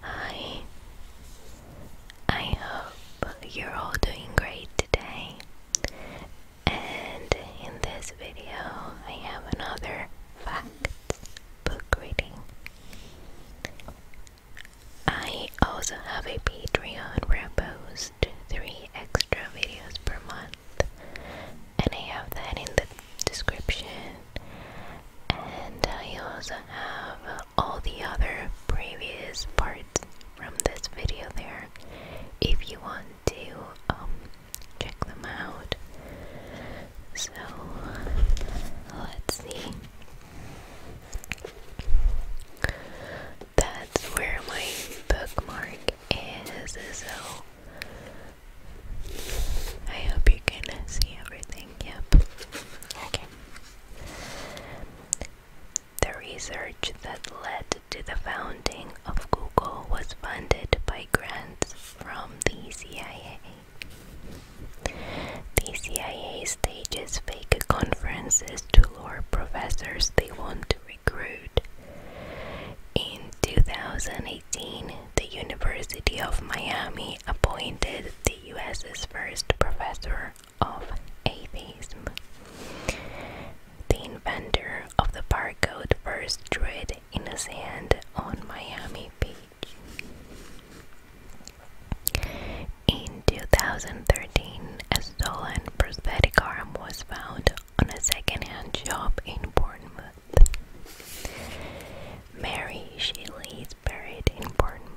Hi, I hope you're all doing great today. And in this video, I have another fact book reading. I also have a Patreon where I post three extra videos per month, and I have that in the description. And I also have all the other previous parts from this video there if you want to um, check them out. So let's see. That's where my bookmark is. So I hope you can see everything. Yep. Okay. The research that led to the founding of Google was funded by grants from the CIA. The CIA stages fake conferences to lure professors they want to recruit. In 2018, the University of Miami appointed the US's first professor of atheism. The inventor of the barcode first drew it in the sand on Miami Beach. In 2013, a stolen prosthetic arm was found on a second-hand shop in Bournemouth. Mary Shelley is buried in Bournemouth.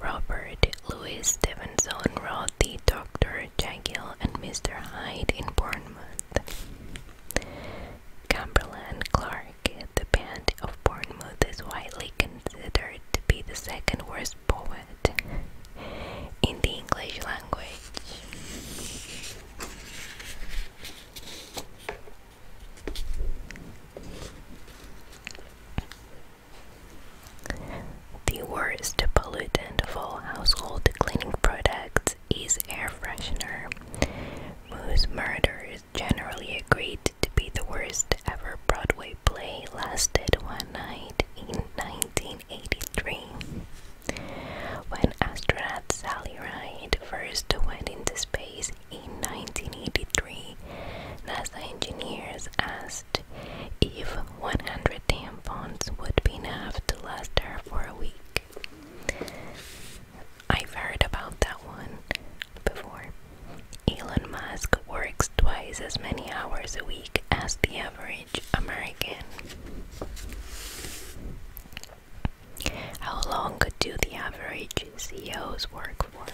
Robert Louis Stevenson wrote Dr. Jekyll and Mr. Hyde in Bournemouth. Cumberland Clark, the band of Bournemouth, is widely considered to be the second worst poet in the English language. The worst pollutant of all household cleaning products is air freshener, whose murder is generally agreed to be the worst ever Broadway play lasted one night in 1983. When astronaut Sally Ride first went into space in 1983, NASA engineers asked if 100 tampons would be enough to last her for a week. I've heard about that one before. Elon Musk works twice as many hours a week as the average American. How long do the average CEOs work for?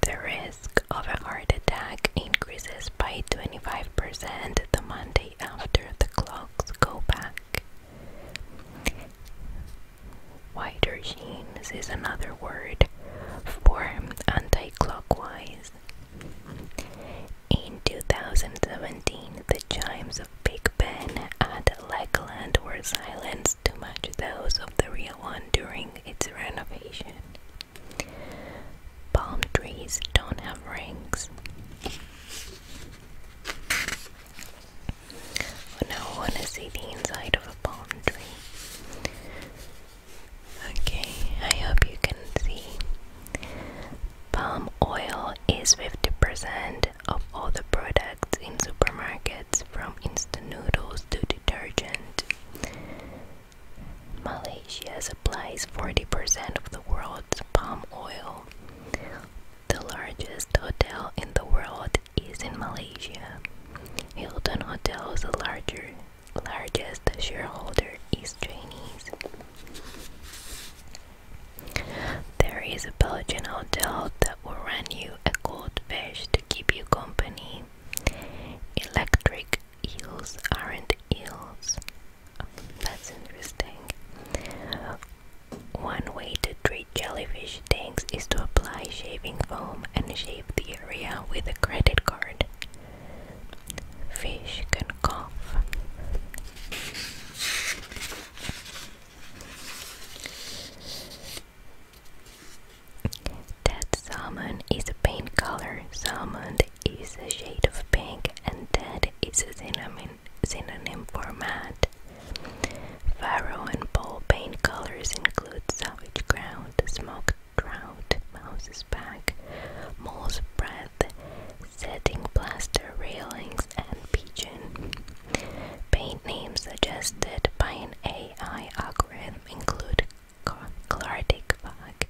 The risk of a heart attack increases by 25% the Monday after the clocks go back. Wider jeans is another word for anti clockwise. In 2017, the chimes of Big Ben at Legoland were silenced to match those of the real one during its renovation. Palm trees don't have rings. now I want to see the inside of a palm tree. Okay, I hope you can see. Palm oil is 50% of all the products in supermarkets, from instant noodles to detergent. Malaysia supplies 40% of the world's palm oil. The largest hotel in the world is in Malaysia. Hilton Hotel is the larger, largest shareholder is Chinese. There is a Belgian hotel that will rent you a goldfish to keep you company. Electric eels aren't eels. that's interesting. One way to treat jellyfish tanks is to apply shaving foam and shave the area with a credit card. Fish can and cough. salmon is a paint color. Salmon is a shade of pink, and that is a cinnamon, cinnamon for matte. Faro and pole paint colors include savage ground, smoked trout, mouse's back, mole's breath, setting plaster railings and pigeon. Paint names suggested by an AI algorithm include Clardic Bug,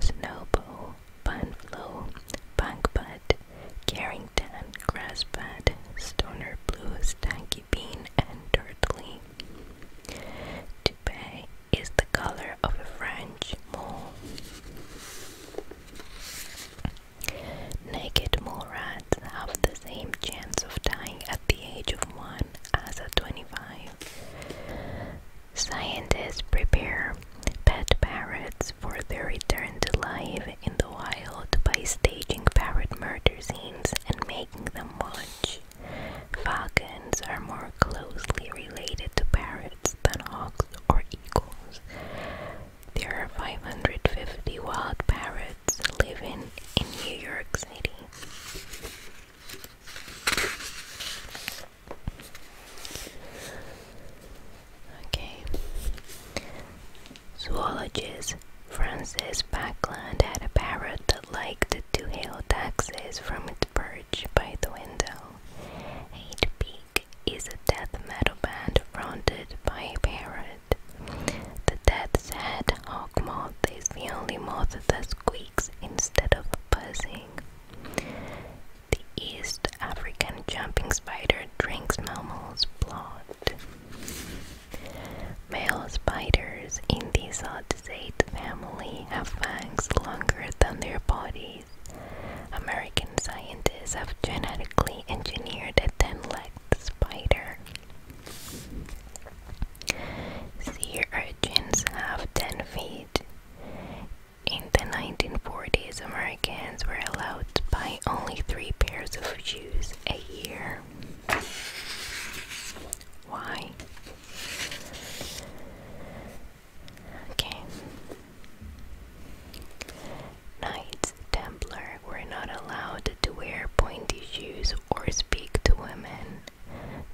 Snowball, Bunflo, Bunkbud, Carrington, Grassbud, Stoner Blue, Stanky Bean, and Dirtly. Toupee is the color of a French mole. Naked Morats have the same chance of dying at the age of 1 as at 25. Scientists prepare pet parrots for their return to life in the wild by staging parrot murder scenes and making them watch. Falcons are more closely related to parrots than hawks or eagles. There are 550 wild parrots living in New York City. Okay. Zoologist Francis Backland had a parrot that liked to hail taxis from its perch by the window. Eight is a death metal band fronted by a parrot. The death's head hawk moth is the only moth that squeaks instead of buzzing. The East African jumping spider drinks mammals' blood. Male spiders in the Zodisate family have fangs longer than their bodies. American scientists have genetically engineered a ten-legged spider. Sea urchins have 10 feet. In the 1940s, Americans were allowed to buy only three pairs of shoes a year. Why? Okay. Knights Templar were not allowed to wear pointy shoes or speak to women.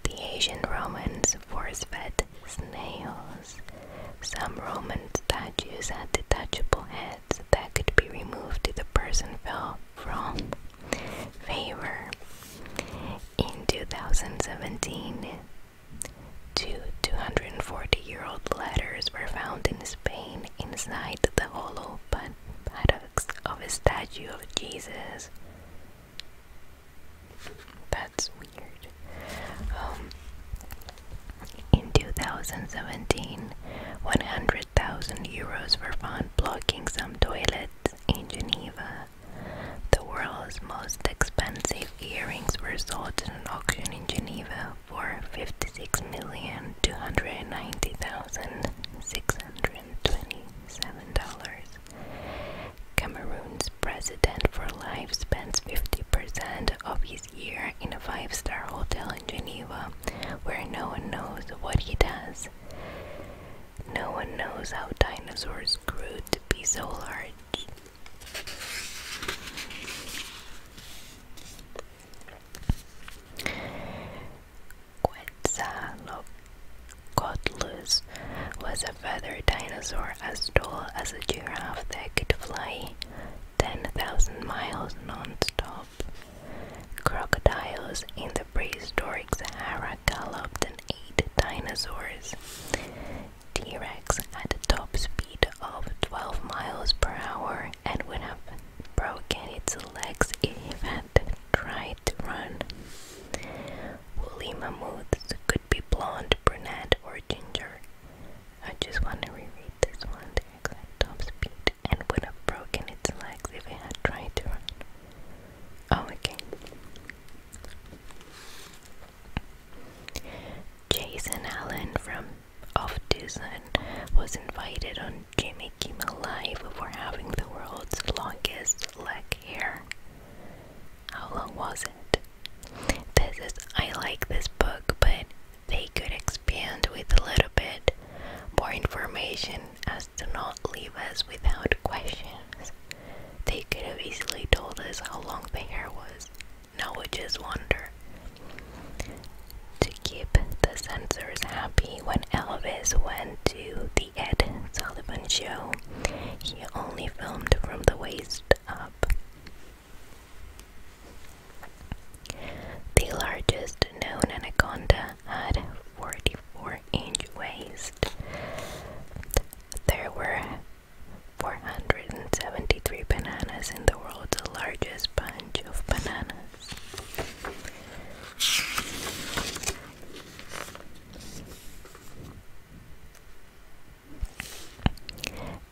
The ancient Romans force fed snails. Some Roman statues had detachable heads that could be removed if the person fell from favor. In 2017, Two 240-year-old letters were found in Spain inside the hollow paddocks of a statue of Jesus. That's weird. Um, in 2017, 100,000 euros were found blocking some toilets in Geneva. The world's most expensive earrings were sold at an auction in Geneva for 56,290,627 dollars. Cameroon's president for life spends 50% of his year in a five-star hotel in Geneva, where no one knows what he does. No one knows how dinosaurs grew to be so large. Quetzalcoatlus was a feathered dinosaur as tall as a giraffe that could fly 10,000 miles non-stop. Crocodiles in the prehistoric Sahara galloped and ate dinosaurs. T-Rex had a top speed of 12 miles per hour and would have broken its legs if it had tried to run. Woolly mammoths could be blonde, brunette, or ginger. I just want to reread this one. The exact top speed and would have broken its legs if it had tried to run. Oh, okay. Jason Allen from Off Dusen was invited on Jimmy Kimmel Live for having the world's longest leg hair. How long was it? This is I like this book, but they could expand with a little bit more information as to not leave us without questions. They could have easily told us how long the hair was knowledge's wonder. To keep the censors happy when Elvis went to the Ed Sullivan show, he only filmed from the waist up. The largest known anaconda had 44 inch waist. There were 473 bananas in the world, the largest bunch of bananas.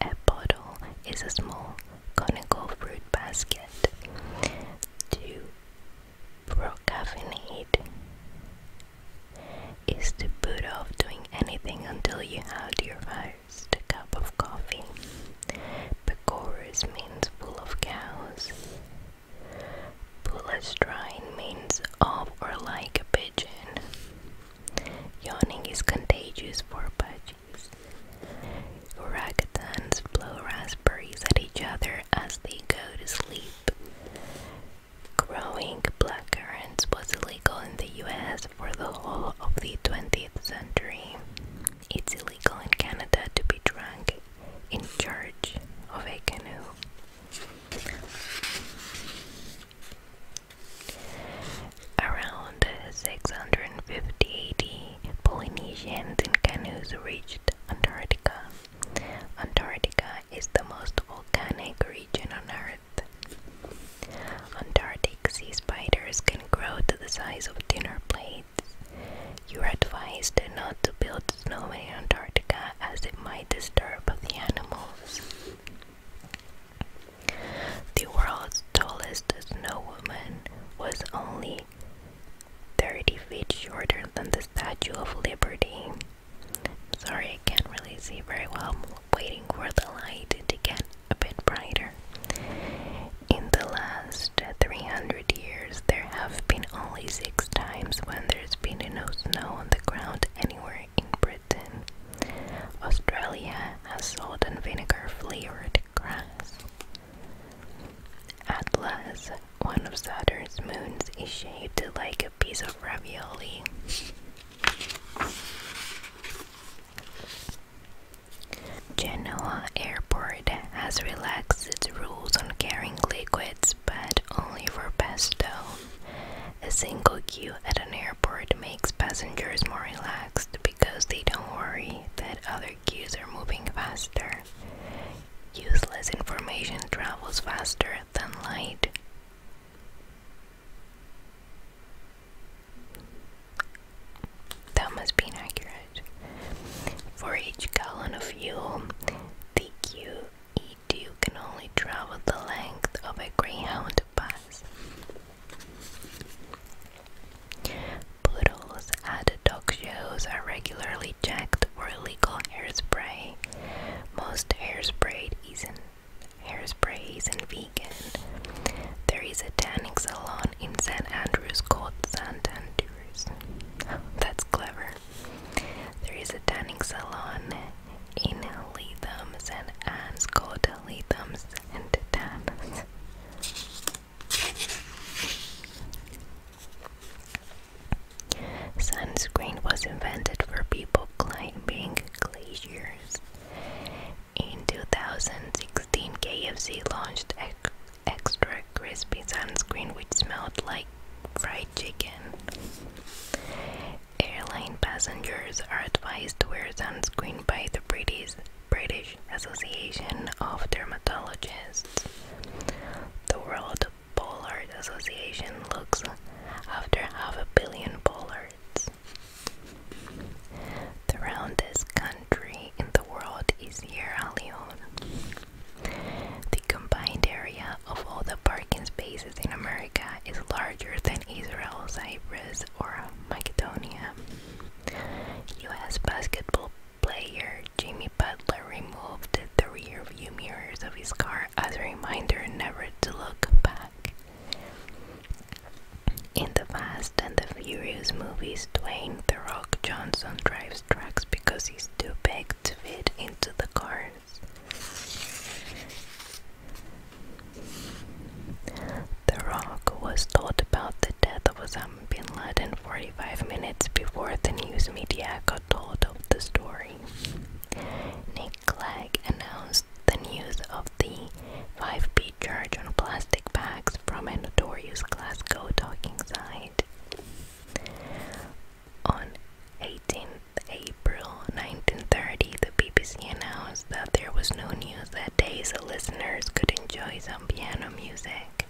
A bottle is a small conical fruit basket to procrastinate is to put off doing anything until you have your fire a cup of coffee. Pecorus means bull of cows. Pulastrine means of or like a pigeon. Yawning is contagious for budgies. Orangutans blow raspberries at each other as they go to sleep. Growing blackcurrants was illegal illegal in the US for the whole of the 20th century. It's illegal in Canada to be drunk in charge of a canoe. Around 650 AD, Polynesians in canoes reached Antarctica. Antarctica is the most volcanic region on Earth Antarctic sea spiders can grow to the size of dinner plates. You are advised not to build snowmen in Antarctica as it might disturb the animals. The world's tallest snow woman was only 30 feet shorter than the Statue of Liberty. Sorry, I can't really see very well waiting for the light to get a bit brighter. In the last 300 years, there have been only six times when there's been no snow on the ground anywhere in Britain. Australia has salt and vinegar flavored grass. Atlas, one of Saturn's moons, is shaped like a piece of ravioli. Genoa Airport has relaxed its rules on carrying liquids, but only for pesto. A single queue at an airport makes passengers more relaxed because they don't worry that other queues are moving faster. Useless information travels faster than light. That must be inaccurate. For each gallon of fuel, the QED can only travel the length of a Greyhound bus. Poodles at dog shows are regularly checked for illegal hairspray. Most hairspray isn't hairsprays, and vegan. There is a tanning salon in St. Andrews called St. Andrews. That's clever. There is a tanning salon in Leatham's and Anne's called Leatham's and Tan. Sunscreen was invented for people climbing glaciers. In 2016, KFC launched extra crispy sunscreen which smelled like fried chicken. Airline passengers are advised to wear sunscreen by the British British Association of Dermatologists. The World Pollard Association looks after half a billion pollards. The roundest country in the world is Sierra The combined area of all the parking spaces in America is larger than Israel, Cyprus, or Macedonia. U.S. basketball player Jimmy Butler removed the rear view mirrors of his car as a reminder never to look back. In the Fast and the Furious movies, Dwayne The Rock Johnson drives trucks because he's too big to fit into the cars. The Rock was told about the death of Osama bin Laden 45 minutes before the news media got told of the story. Clegg announced the news of the 5 charge on plastic bags from a notorious Glasgow docking site. On 18th April 1930, the BBC announced that there was no news that day so listeners could enjoy some piano music.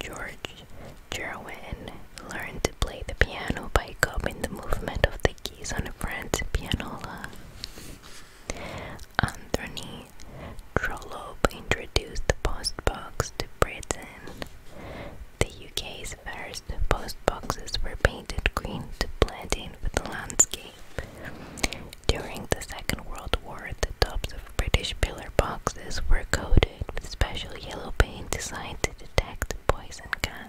George Gerwin learned to play the piano by copying the movement of the the keys on Franz Pianola. Anthony Trollope introduced the postbox to Britain. The UK's first postboxes were painted green to blend in with the landscape. During the Second World War, the tops of British pillar boxes were coated with special yellow paint designed to detect poison gas.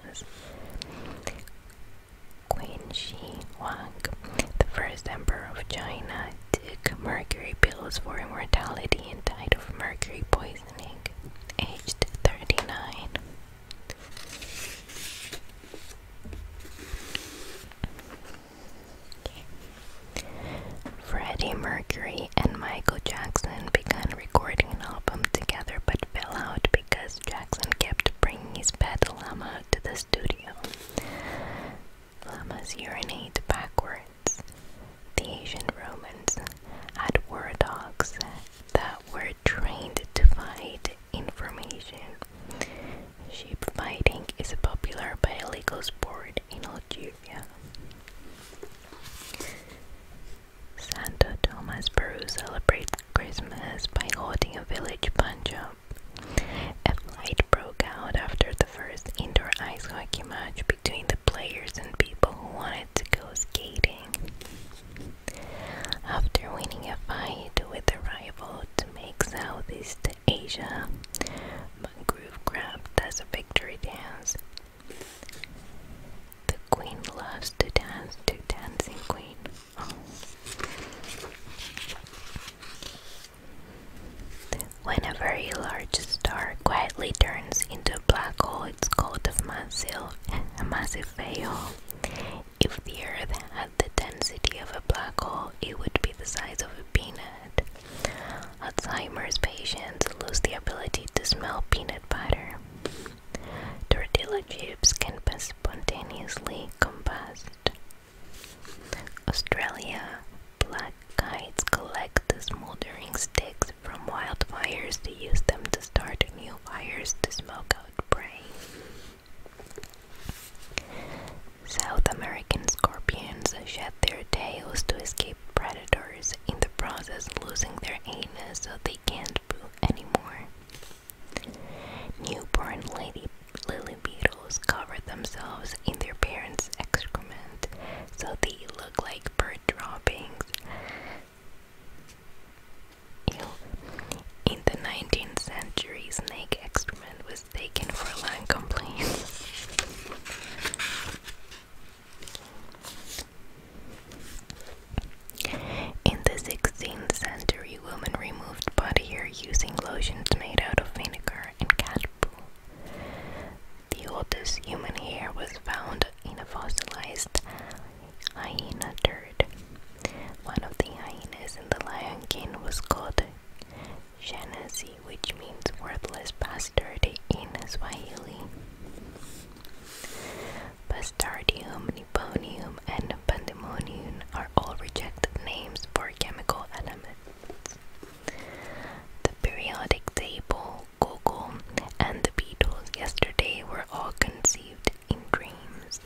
Qin Shi Huang, the first emperor of China, took mercury pills for immortality and died of mercury poisoning, aged 39. Freddie Mercury and Michael Jackson began recording an album together but fell out because Jackson kept bringing his pet llama to the studio. Llamas urinate backwards. The ancient Romans had war dogs that were trained to fight information. Sheep fighting is a popular but illegal sport in Algeria. Santa Thomas Peru celebrates Christmas by holding a village punch up. A fight broke out after the first indoor ice hockey match between the players and people who wanted to go skating. After winning a fight with a rival to make Southeast Asia, Mangrove grabbed as a victory dance the queen loves to dance to Dancing Queen. When a very large star quietly turns into a black hole, it's called a massive, a massive veil. If the Earth had the density of a black hole, it would be the size of a peanut. Alzheimer's patients lose the ability to smell peanut butter. Tortilla chips can be spontaneously combust. Australia black kites collect the smoldering sticks from wildfires to use them to start new fires to smoke out prey. South American scorpions shed their tails to escape predators, in the process losing their anus so they can not anymore. Newborn lady lily beetles cover themselves in their parents' excrement, so they look like bird droppings. Ew. In the 19th century, snake excrement was taken for land complaints. In the 16th century, women removed body hair using lotions made out of vinegar and cat poo. The oldest human hair was found in a fossilized hyena turd. One of the hyenas in the Lion King was called Shanasi, which means worthless bastard in Swahili. Bustardium, Nipponium, and Pandemonium are all rejected names for chemical elements. The periodic table, Google, and the Beatles yesterday were all conceived in dreams.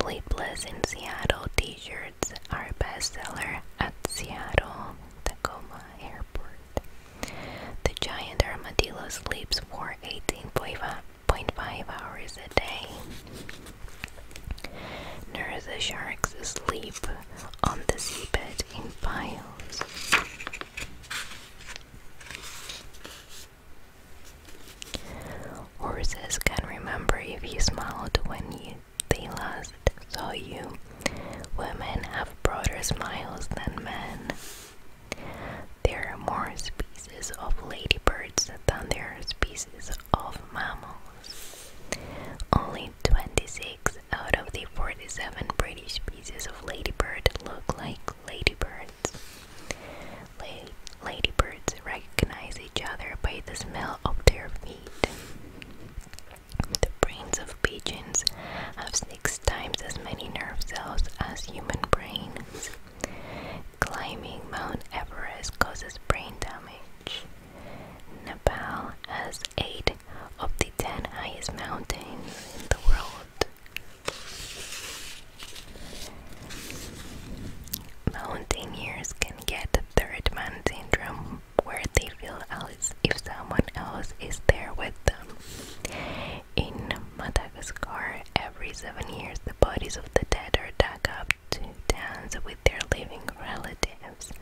Sleepless in Seattle t shirts are a bestseller at Seattle Tacoma Airport. The giant armadillo sleeps for 18.5 hours a day. Nurse sharks sleep on the seabed in piles. Horses can remember if you smiled when they last saw you. Women have broader smiles than men. There are more species of ladybirds than there are species of mammals. Only 26 out of the 47 British species of ladybird look like ladybirds. ladybirds recognize each other by the smell of their feet. The brains of pigeons have six times as many nerve cells as human brains. Climbing Mount Everest causes brain damage. Nepal has eight of the ten highest mountains in the world. Mountaineers can get third man syndrome where they feel as if someone else is there with them. In Madagascar, every seven years, the bodies of the dead are dug up to dance with their living relatives.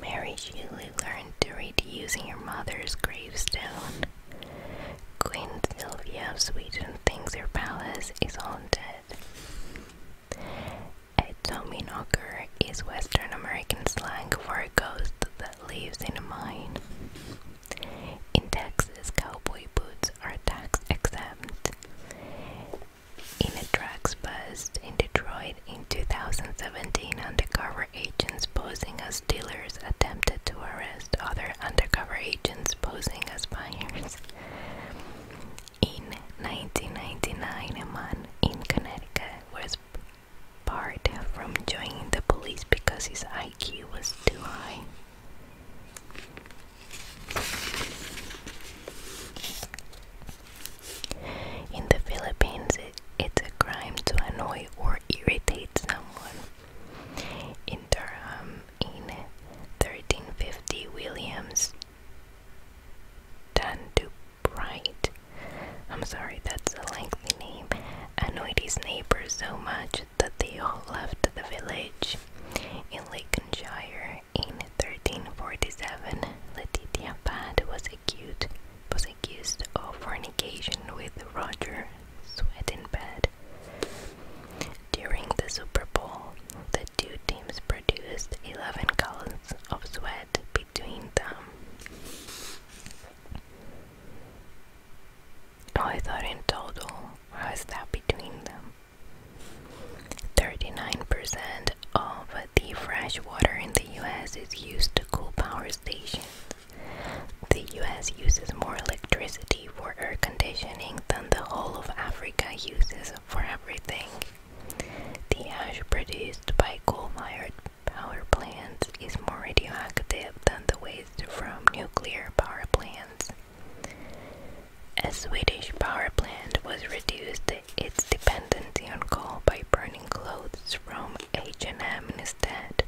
Mary Julie learned to read using her mother's gravestone. Queen Sylvia of Sweden thinks her palace is haunted. A tommyknocker is Western American slang for a ghost lives in a mine. In Texas, cowboy boots are tax exempt. In a drugs bust in Detroit in 2017, undercover agents posing as dealers attempted to arrest other undercover agents posing as buyers. In 1999, a man in Connecticut was barred from joining the police because his IQ was too high. In the Philippines, it's a crime to annoy or irritate someone. In Durham, in 1350, Williams Dandup Bright. I'm sorry, that's a lengthy name. Annoyed his neighbors so much that they all left the village. In Lincolnshire, in 1347, Letitia Pad was accused, was accused of fornication with Roger Swedenbed. During the Super Bowl, the two teams produced 11 gallons of sweat between them. I thought in total, how is that between them? 39% of the fresh water in the US is used to cool power stations. The US uses more electricity for air conditioning than the whole of Africa uses for everything. The ash produced by coal fired power plants is more radioactive than the waste from nuclear power plants. A Swedish power plant was reduced its dependency on coal by burning clothes from H&M instead.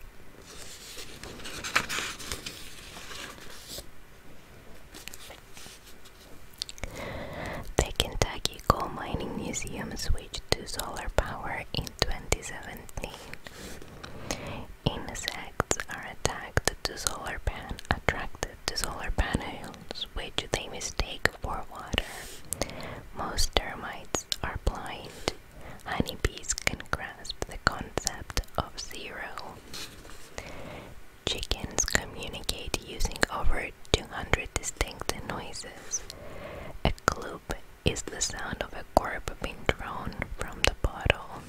The Kentucky Turkey coal mining museum switched to solar power in 2017. Insects are attracted to solar pan attracted to solar panels, which they mistake for water. Most termites are blind. Honeybees can grasp the concept of zero. Chickens communicate using over 200 distinct noises. A clue is the sound of a cork being drawn from the bottle.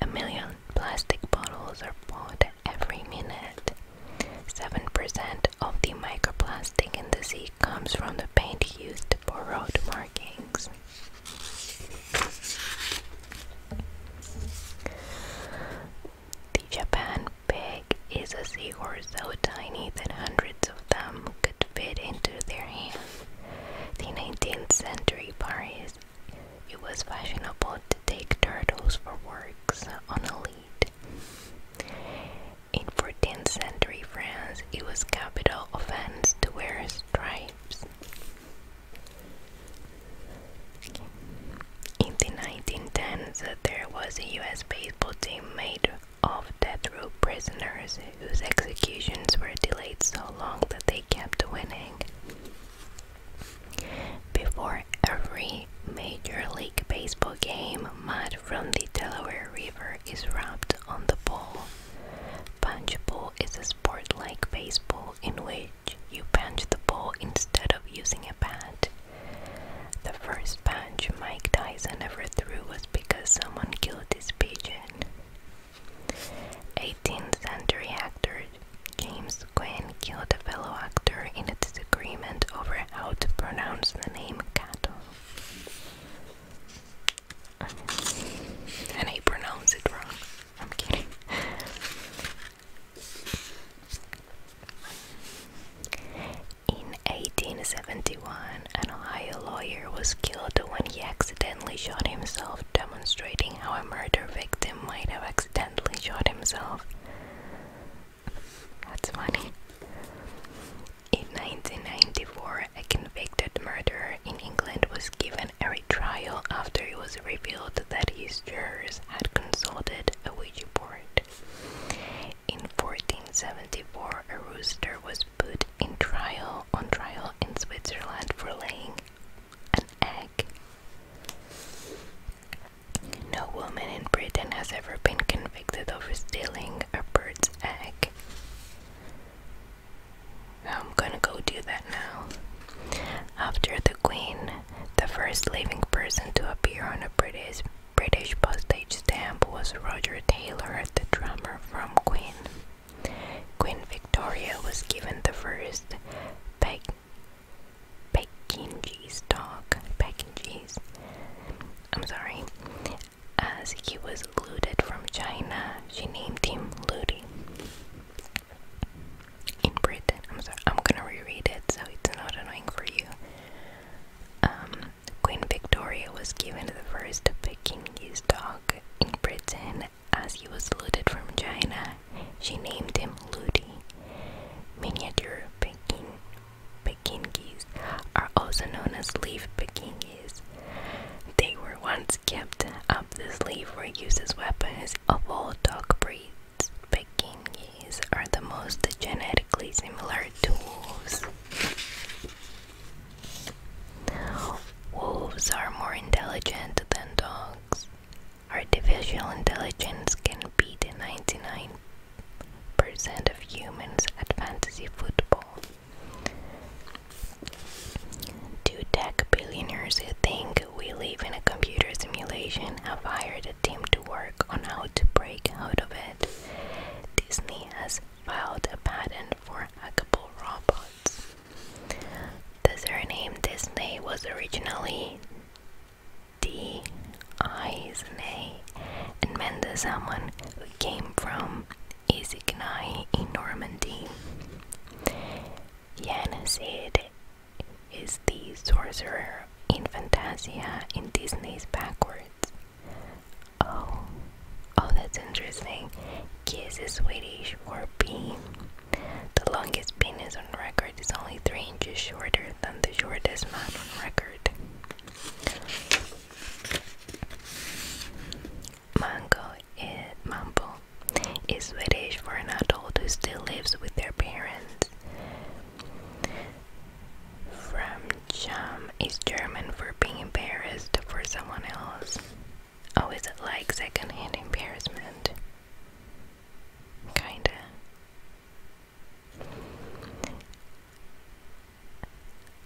A million plastic bottles are bought every minute. 7% of the microplastic in the sea comes from the paint used for road markings. The Japan Bay is a seahorse so tiny that hundreds of them could fit into their hand. The 19th century Paris, it was fashionable to take turtles for works on a lead. In 14th century France, it was capital offense to wear stripes. In the 1910s, there was a US baseball team made of death row prisoners whose executions were delayed so long that they kept winning. Before every Major League Baseball game, mud from the Delaware River is rubbed on the ball. Punchball is a sport like baseball in which you punch the ball instead of using a bat. The first punch Mike Tyson ever threw was because someone killed his pigeon. 18th century actor James Quinn killed a fellow actor in a disagreement over how to pronounce the name Kato. And he pronounced it wrong. I'm kidding. In 1871, an Ohio lawyer was killed when he accidentally shot himself, demonstrating how a murder victim might have accidentally shot himself. That's funny. In 1994, a convicted murderer in England was given a retrial after it was revealed that his jurors had consulted a witch board. In 1474, a rooster was put on trial in Switzerland for laying an egg. No woman in Britain has ever been convicted of stealing a bird's egg. I'm gonna go do that now. After the Queen, the first living person to appear on a British British postage stamp was Roger Taylor, the drummer from Queen. Queen Victoria was given the first Pek Pekingese dog, Pekingese, I'm sorry, as he was looted from China, she named him Ludi. In Britain, I'm sorry, I'm gonna reread it so it's not annoying for you. Um, Queen Victoria was given the first Pekingese dog in Britain as he was looted from China. She named him Ludi. Miniature Pekingese are also known as leaf Pekingese. They were once kept up the sleeve for use as weapons of all dog breeds. Pekingese are the most genetically similar to wolves. Wolves are more intelligent than dogs. Artificial intelligence can beat 99% of humans at fantasy football. Two tech billionaires who think we live in a computer simulation have hired a team to work on how to break out of it. Disney has filed a patent for hackable robots. The surname Disney was originally D-I-S-N-E, and meant someone who came from Isignai in Normandy. Jan Sid is the sorcerer in Fantasia in Disney's Backward. Oh, oh, that's interesting. Kiss is Swedish for bean. The longest penis on record is only three inches shorter than the shortest man on record. Mango is is Swedish for an adult who still lives with their parents. Fremdscham is German for being embarrassed for someone else. Oh, is it like secondhand embarrassment? Kinda.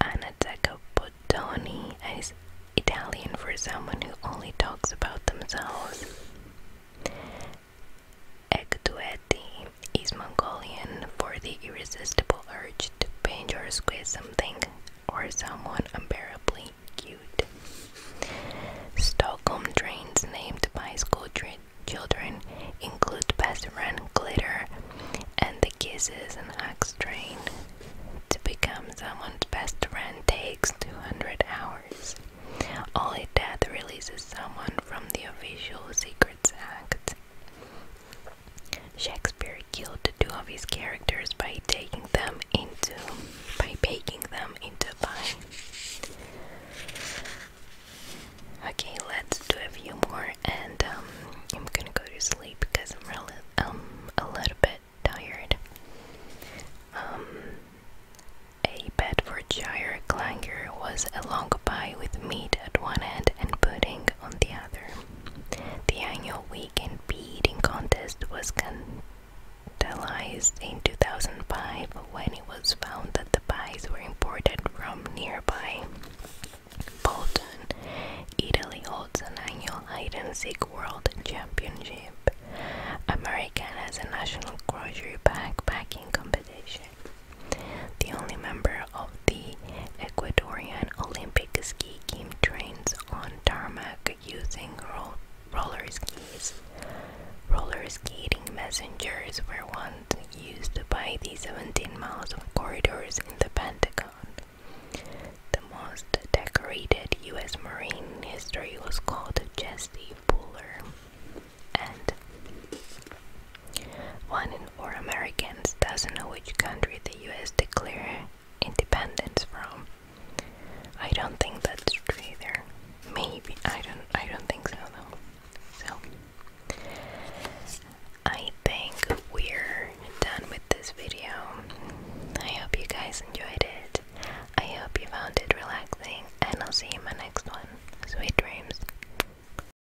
Anatacopotoni is Italian for someone who only talks about themselves. Ectueti is Mongolian for the irresistible urge to paint or squeeze something or someone unbearably cute. Stockholm trains named by school children include Best Passeran, Glitter, and the Kisses and Hugs train. To become someone's best friend takes 200 hours. All Only death releases someone from the official Secrets Act. Shakespeare killed two of his characters by taking them into by baking them into a pie. Okay, let's do a few more, and um, I'm gonna go to sleep because I'm um, a little bit tired. Um, a Bedfordshire clanger was a long pie with meat at one end and pudding on the other. The annual weekend eating contest was vandalized in 2005 when it was found that the pies were imported from nearby. Bolton, Italy holds an annual hide and seek world championship. America has a national grocery backpacking competition. The only member of the Ecuadorian Olympic ski team trains on tarmac using ro roller skis. Roller skating messengers were once used by the 17 miles of corridors in the Pentagon. The most decorated U.S. Marine in history was called Jesse Fuller, and one in four Americans doesn't know which country the US declared independence from. I don't think that's true There, Maybe I don't I don't think so though. So I think we're done with this video. I hope you guys enjoyed it. I hope you found it relaxing and I'll see you in my next one. Sweet dreams.